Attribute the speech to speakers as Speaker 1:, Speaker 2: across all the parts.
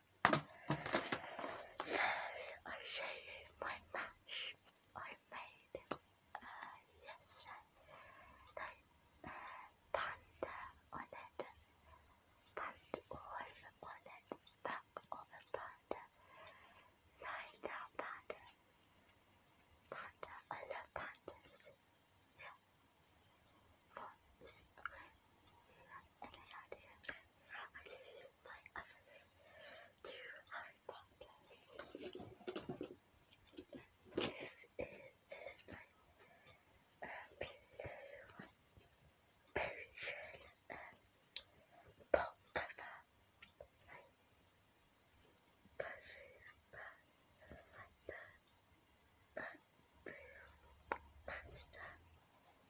Speaker 1: First, show you my match I made uh, yesterday. No, uh, panda on it. Panda oil I love pandas. Yeah. What is okay? any idea? by others to having that place. This is this time a pillow, persian, um, pot cover, like bushes, but like the bamboo monster.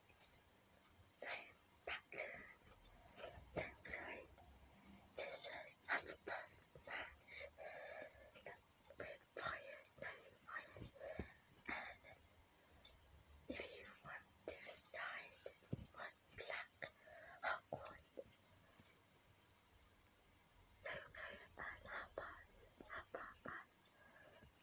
Speaker 1: So back to so sorry. This is another match that with fire, no fire. And if you want to decide what black hot one logo and upper upper and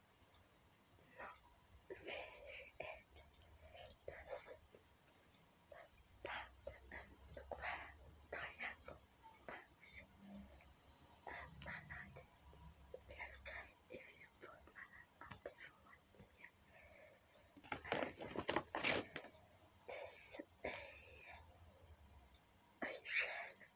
Speaker 1: fish and this, that, and the crab, pineapple, bugs, and mallet. Very good if you put mallet on different ones here. And this is a, a shed and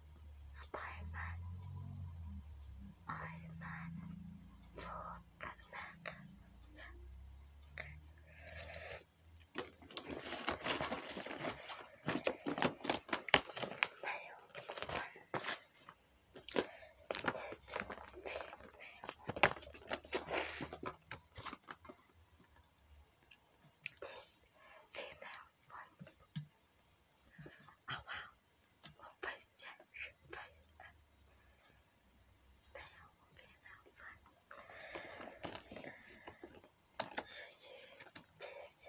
Speaker 1: Spider-Man, Iron Man, Thor, and America. Male ones. female ones. This female ones. Oh wow, 我本身是对的，没有别的法。所以，this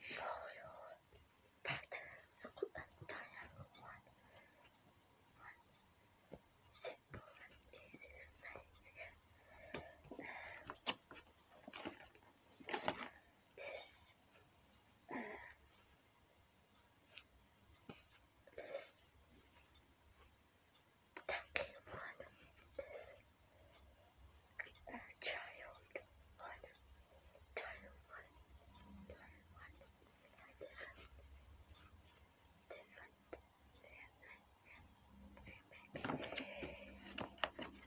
Speaker 1: show your patterns entire one, one simple and easy thing. Um, this this uh, this this uh, child one, child one, child one, different, different, different.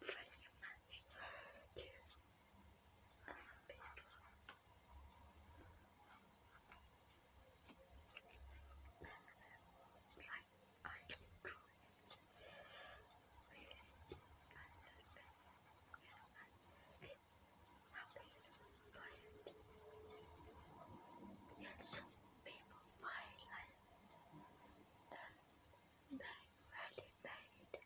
Speaker 1: French match to like I enjoy it. Really, I happy by Yes, people buy it they really made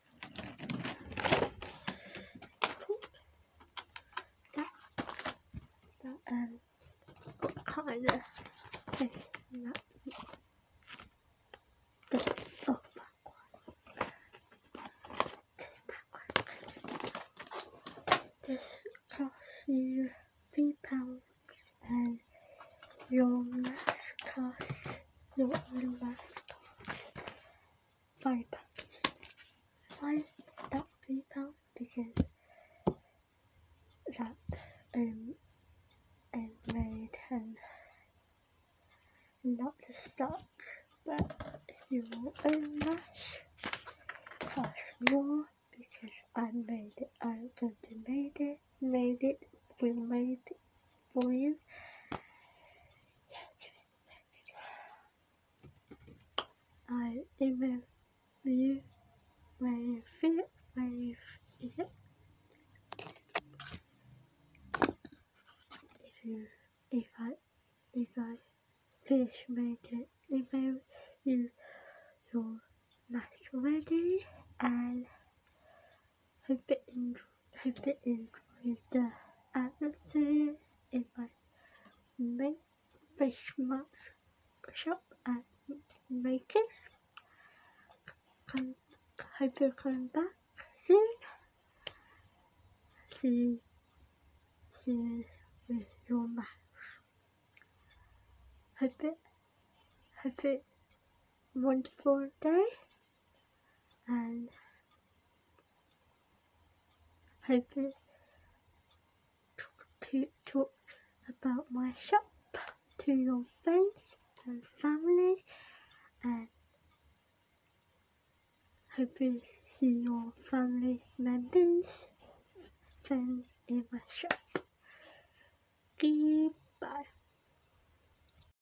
Speaker 1: that, that um, kind of the, oh,
Speaker 2: This back one. This costs you three pounds and your mask costs your own mask five pounds. Why that three Because that um I made and not the stock, but you will own that cost more because I made it. I already made it, made it, we made it for you. I email you when you feel it, when it. If you, if I, if I finish making email you your mask ready and Hope you enjoy, hope you enjoy the atmosphere in my main fish marks shop at Makers. Come, hope you're coming back soon. See you, see you with your Hope it, hope it wonderful day and hoping talk to talk about my shop to your friends and family and hoping see your family members friends in my shop goodbye